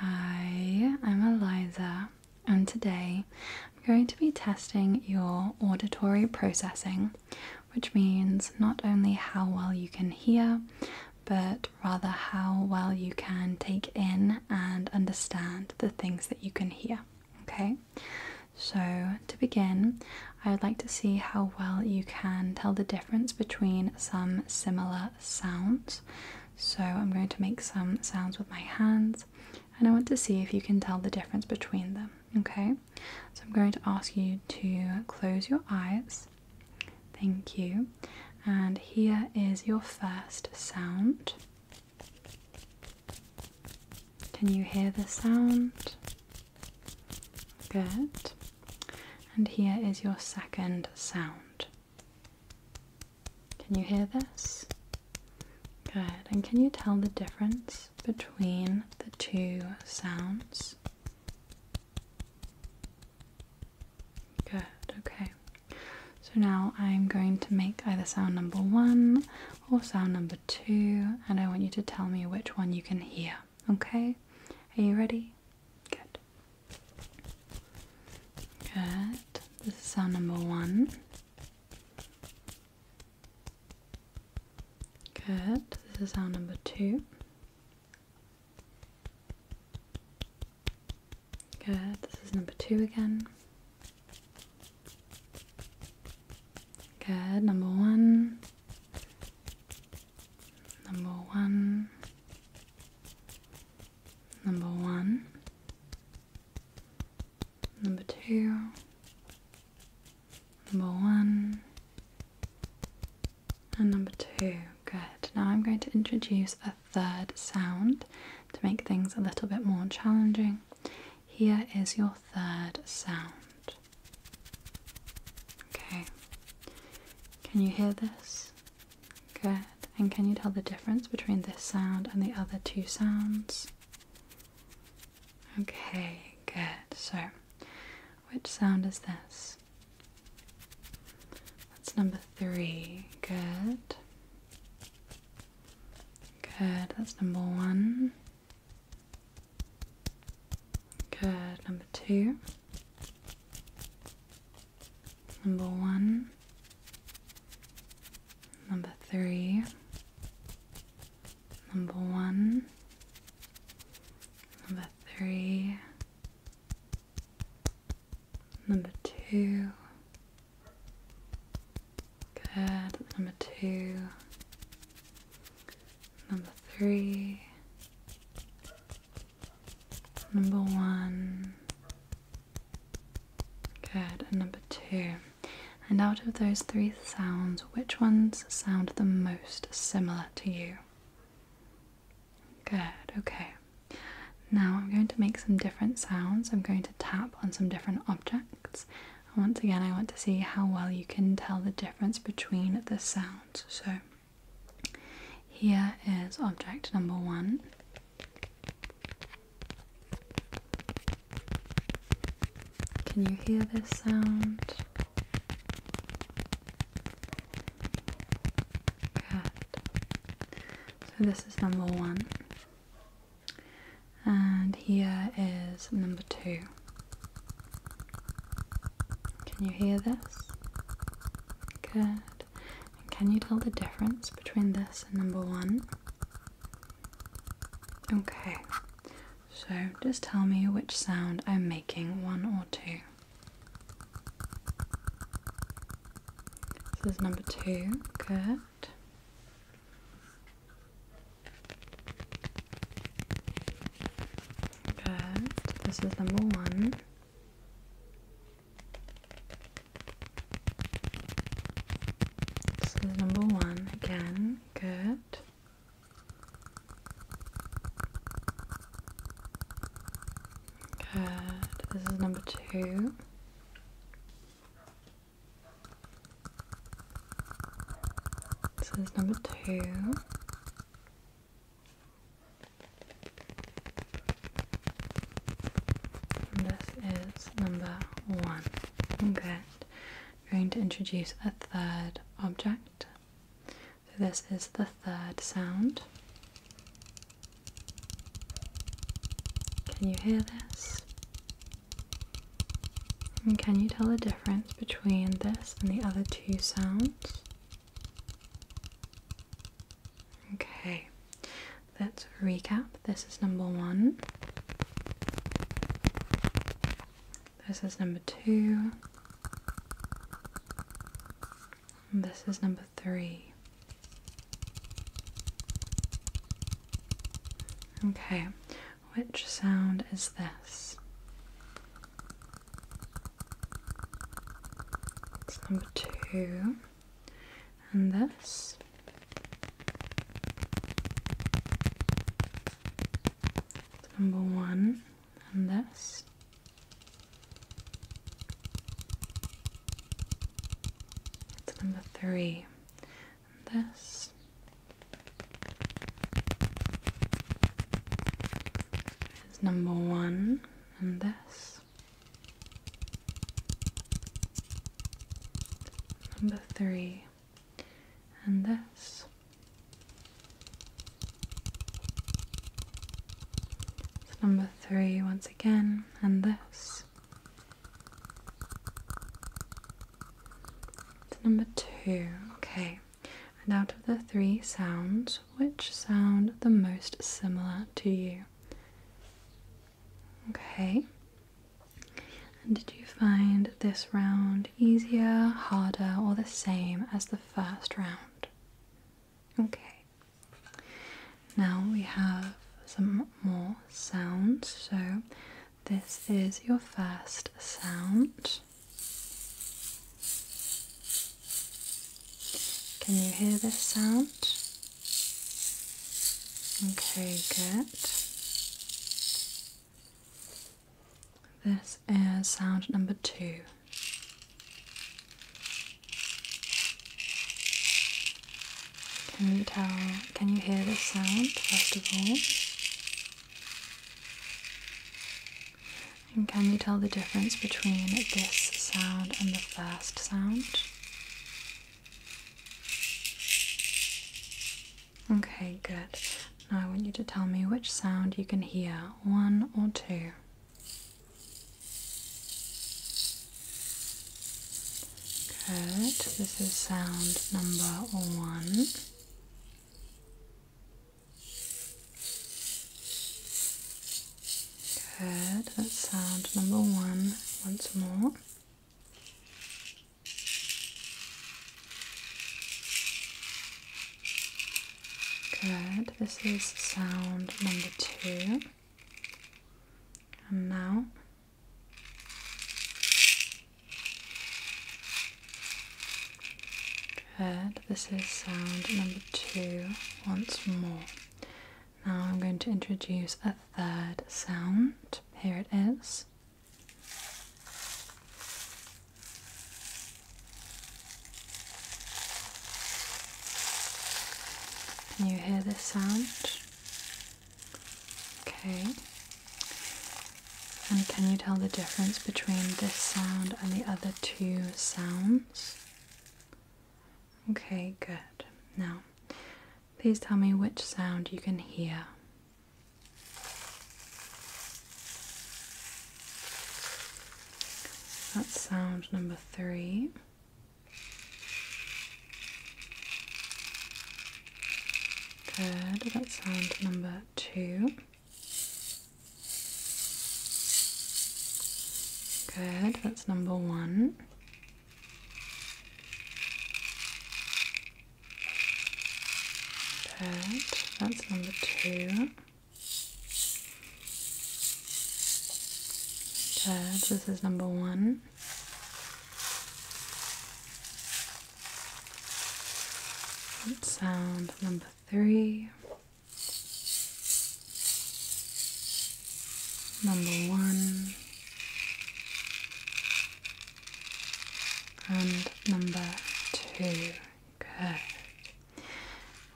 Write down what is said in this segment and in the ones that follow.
Hi, I'm Eliza, and today I'm going to be testing your auditory processing, which means not only how well you can hear, but rather how well you can take in and understand the things that you can hear. Okay, so to begin, I would like to see how well you can tell the difference between some similar sounds. So I'm going to make some sounds with my hands and I want to see if you can tell the difference between them. Okay, so I'm going to ask you to close your eyes. Thank you. And here is your first sound. Can you hear the sound? Good. And here is your second sound. Can you hear this? Good. And can you tell the difference between the two sounds? Good, okay. So now I'm going to make either sound number one or sound number two, and I want you to tell me which one you can hear, okay? Are you ready? Good. Good. This is our number one. Good. This is our number two. Good. This is number two again. Good. Number one. Number one. Number one, number two, number one, and number two. Good. Now I'm going to introduce a third sound to make things a little bit more challenging. Here is your third sound. Okay, can you hear this? Good. And can you tell the difference between this sound and the other two sounds? Okay, good. So, which sound is this? That's number three. Good. Good. That's number one. Good. Number two number one, number three, number one, number three, number two. Good, number two, number three, Number one. Good. And number two. And out of those three sounds, which ones sound the most similar to you? Good, okay. Now I'm going to make some different sounds. I'm going to tap on some different objects. And once again, I want to see how well you can tell the difference between the sounds. So here is object number one. Can you hear this sound? Good. So this is number one. And here is number two. Can you hear this? Good. can you tell the difference between this and number one? Okay. So just tell me which sound I'm making, one or two. This is number two. Good. Good. This is number one. This is number one again, good. Good. This is number two. This is number two. This is number one. Good. I'm going to introduce a third object. So this is the third sound. Can you hear this? And can you tell the difference between this and the other two sounds? Okay, let's recap. This is number one. This is number two. this is number three. Okay, which sound is this? It's number two. And this. It's number one. And this. It's number three. And this. It's number one, and this. Number three, and this. So number three once again, and this. It's number two, okay. And out of the three sounds, which sound the most similar to you? Okay. And did you find this round easier, harder, or the same as the first round? Okay. Now we have some more sounds. So this is your first sound. Can you hear this sound? Okay, good. This is sound number two. Can you tell? Can you hear this sound and can you tell the difference between this sound and the first sound? Okay, good. Now I want you to tell me which sound you can hear, one or two. Good, this is sound number one. Good, that's sound number one once more. Good, this is sound number two. And now Good, this is sound number two once more. Now I'm going to introduce a third sound. Here it is. Can you hear this sound? Okay. And can you tell the difference between this sound and the other two sounds? Okay, good. Now, please tell me which sound you can hear. That's sound number three. Good, that's sound number two. Good, that's number one. Good, that's number two. Good, this is number one. That's sound number three. Number one and number two. Good.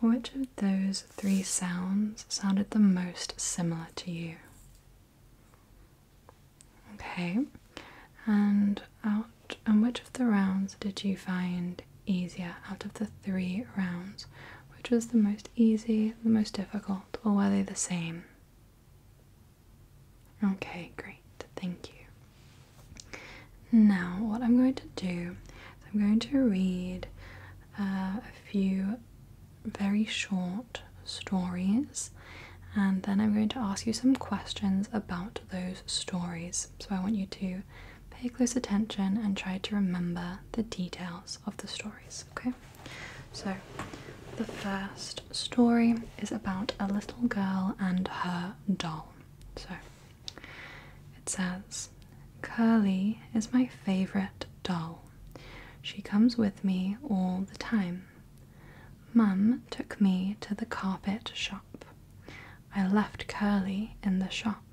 Which of those three sounds sounded the most similar to you? Okay, and out, and which of the rounds did you find easier out of the three rounds? Which was the most easy, the most difficult, or were they the same? Okay, great, thank you. Now, what I'm going to do I'm going to read uh, a few very short stories, and then I'm going to ask you some questions about those stories so I want you to pay close attention and try to remember the details of the stories, okay? So, the first story is about a little girl and her doll. So, it says, Curly is my favorite doll. She comes with me all the time. Mum took me to the carpet shop. I left Curly in the shop.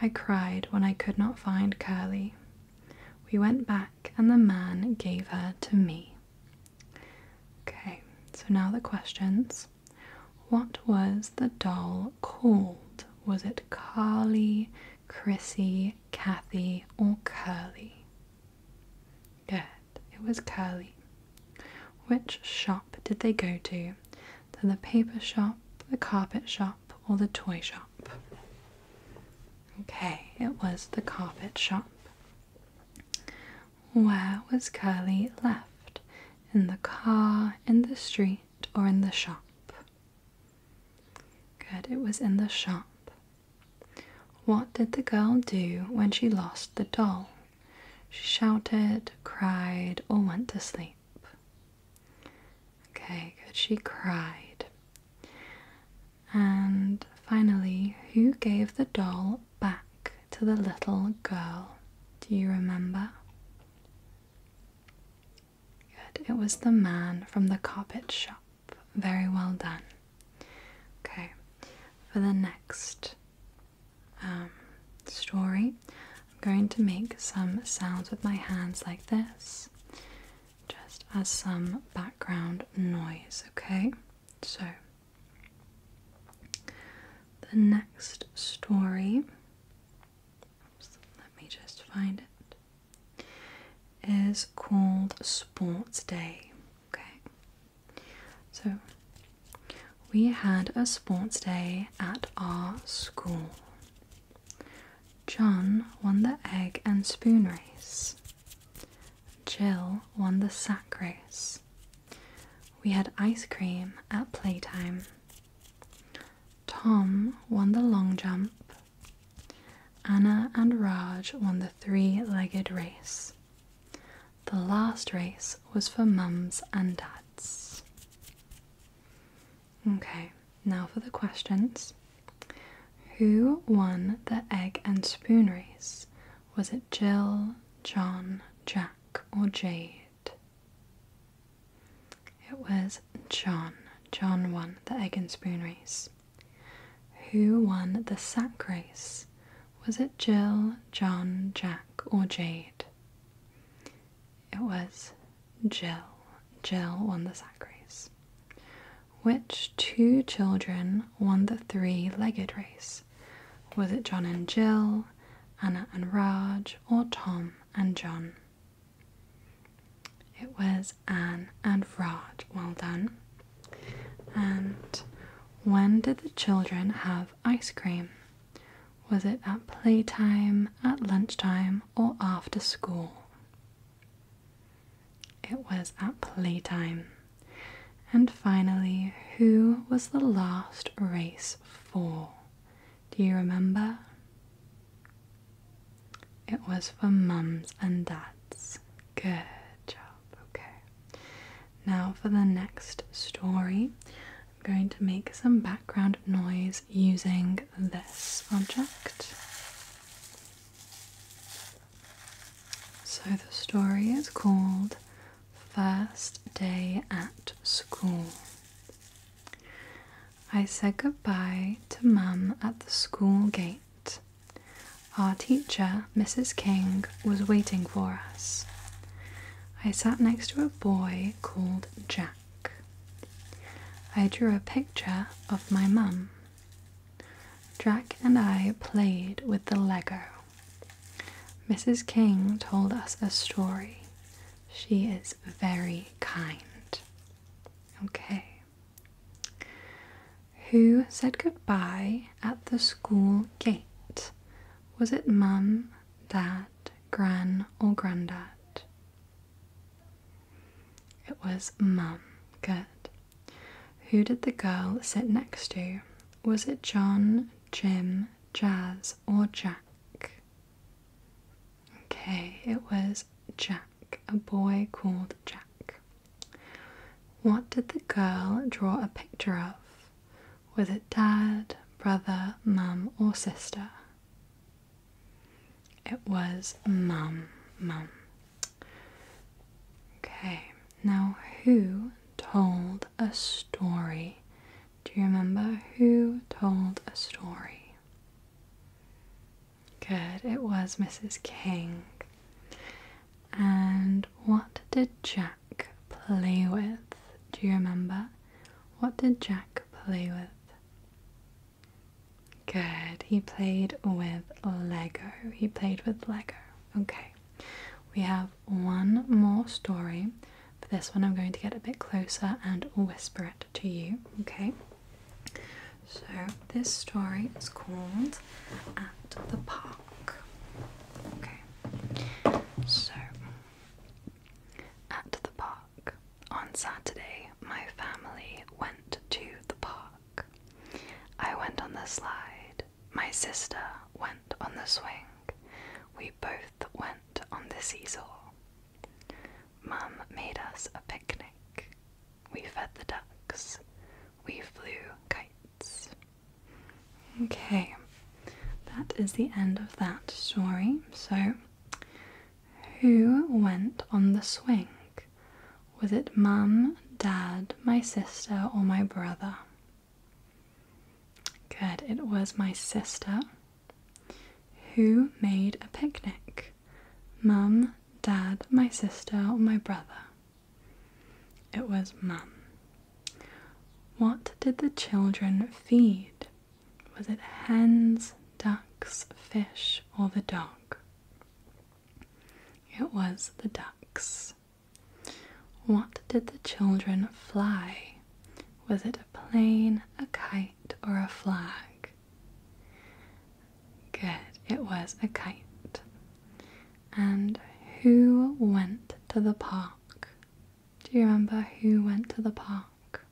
I cried when I could not find Curly. We went back and the man gave her to me. Okay, so now the questions. What was the doll called? Was it Curly, Chrissy, Kathy, or Curly? Good. It was Curly. Which shop did they go to? Then the paper shop, the carpet shop, or the toy shop? Okay, it was the carpet shop. Where was Curly left? In the car, in the street, or in the shop? Good, it was in the shop. What did the girl do when she lost the doll? She shouted, cried, or went to sleep. Okay, good. She cried. And finally, who gave the doll back to the little girl? Do you remember? Good. It was the man from the carpet shop. Very well done. Okay, for the next um, story, I'm going to make some sounds with my hands like this, just as some background noise, okay? So, the next story, oops, let me just find it, is called Sports Day, okay? So, we had a sports day at our school. John won the egg and spoon race. Jill won the sack race. We had ice cream at playtime. Tom won the long jump. Anna and Raj won the three legged race. The last race was for mums and dads. Okay, now for the questions. Who won the egg and spoon race? Was it Jill, John, Jack, or Jade? It was John. John won the egg and spoon race. Who won the sack race? Was it Jill, John, Jack, or Jade? It was Jill. Jill won the sack race. Which two children won the three legged race? Was it John and Jill, Anna and Raj, or Tom and John? It was Anne and Raj. Well done. And when did the children have ice cream? Was it at playtime, at lunchtime, or after school? It was at playtime. And finally, who was the last race for? Do you remember? It was for mums and dads. Good job. Okay. Now for the next story, I'm going to make some background noise using this object. So the story is called First Day at School. I said goodbye to Mum at the school gate our teacher, Mrs. King, was waiting for us. I sat next to a boy called Jack. I drew a picture of my mum. Jack and I played with the Lego. Mrs. King told us a story. She is very kind. Okay. Who said goodbye at the school gate? Was it mum, dad, gran, or grandad? It was mum. Good. Who did the girl sit next to? Was it John, Jim, Jazz, or Jack? Okay, it was Jack, a boy called Jack. What did the girl draw a picture of? Was it dad, brother, mum, or sister? It was mum, mum. Okay, now who told a story? Do you remember who told a story? Good, it was Mrs. King. And what did Jack play with? Do you remember? What did Jack play with? Good. He played with Lego. He played with Lego. Okay. We have one more story. For this one, I'm going to get a bit closer and whisper it to you. Okay. So, this story is called At the Park. Okay, so at the park on Saturday, my family went to the park. I went on the slide, my sister went on the swing, we both went on the seesaw. Mum made us a picnic. We fed the ducks. We flew kites. Okay, that is the end of that story. So, who went on the swing? Was it mum, dad, my sister, or my brother? Good, it was my sister. Who made a picnic? Mum, dad, my sister, or my brother? It was Mum. What did the children feed? Was it hens, ducks, fish, or the dog? It was the ducks. What did the children fly? Was it a plane, a kite, or a flag? Good, it was a kite. And who went to the park? Do you remember who went to the park?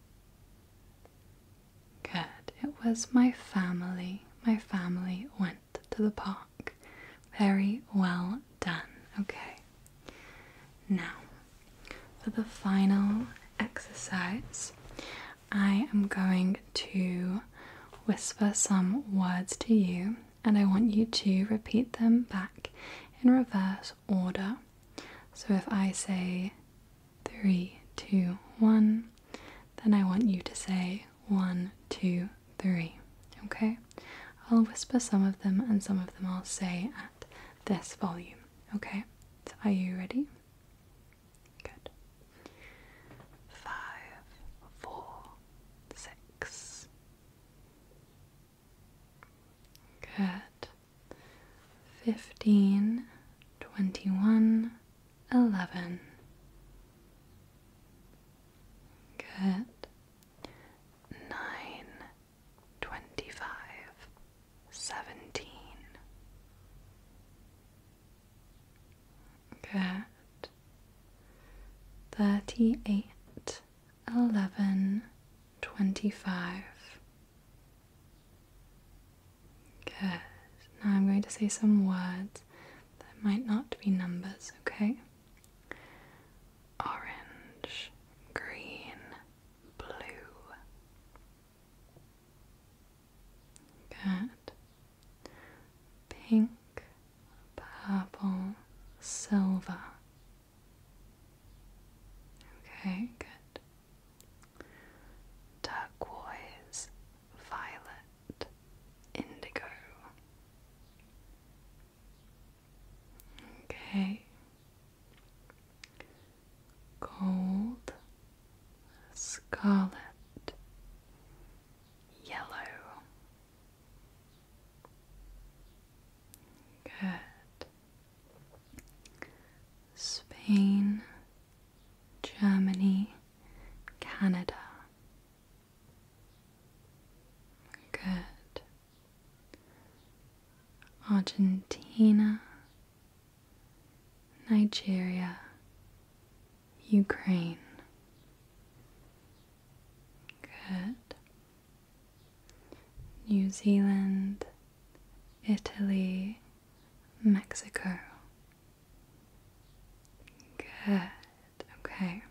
Good. It was my family. My family went to the park. Very well done. Okay. Now, for the final exercise, I am going to whisper some words to you, and I want you to repeat them back in reverse order. So if I say three, two, one, then I want you to say one, two, three. Okay? I'll whisper some of them and some of them I'll say at this volume. Okay? are you ready? Good five, four, six. Good. Fifteen, twenty one, eleven. Good. Nine, twenty five, seventeen. Good. Thirty eight, eleven, twenty five. Good. Now I'm going to say some words that might not be numbers, okay? Orange, green, blue. Good pink, purple, silver. Okay, good. Turquoise, violet, indigo. Okay. Gold, scarlet, yellow. Good. Spain, Germany, Canada. Good. Argentina, Nigeria, Ukraine. Good. New Zealand, Italy, Mexico. Good. Okay.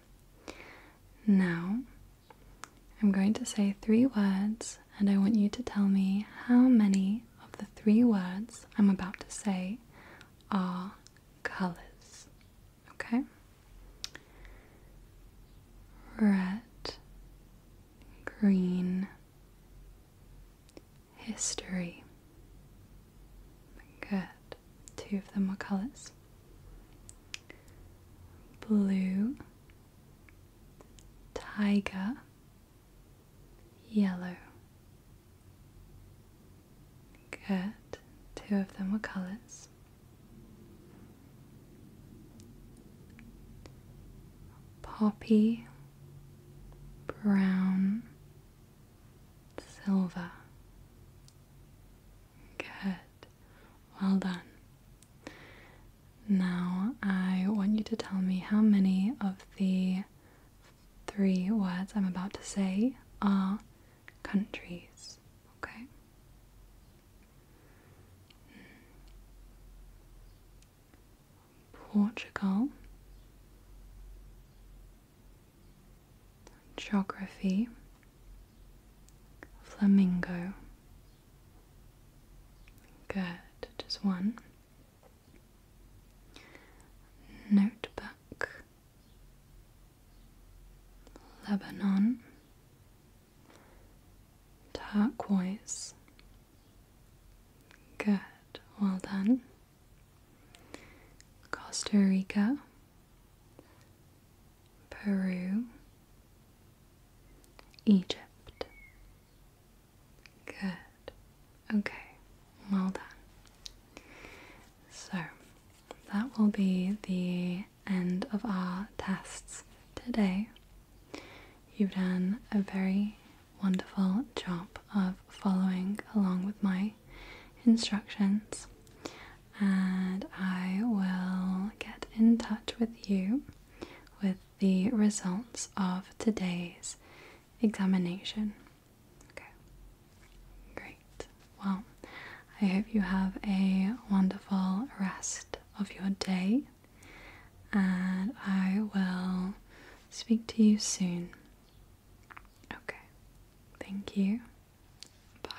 Now, I'm going to say three words, and I want you to tell me how many of the three words I'm about to say are colors. Okay? Red, green, history. Good. Two of them are colors. Blue, tiger, yellow. Good. Two of them were colours. Poppy, brown, silver. Good. Well done. Now I want you to tell me how many of the three words I'm about to say are countries. Okay? Portugal. Geography. Flamingo. Good, just one. Notebook. Lebanon, turquoise. Good, well done. Costa Rica, Peru, Egypt. Good. Okay, well done. So, that will be the end of our tests today. You've done a very wonderful job of following along with my instructions, and I will get in touch with you with the results of today's examination. Okay. Great. Well, I hope you have a wonderful rest of your day, and I will speak to you soon. Okay. Thank you. Bye.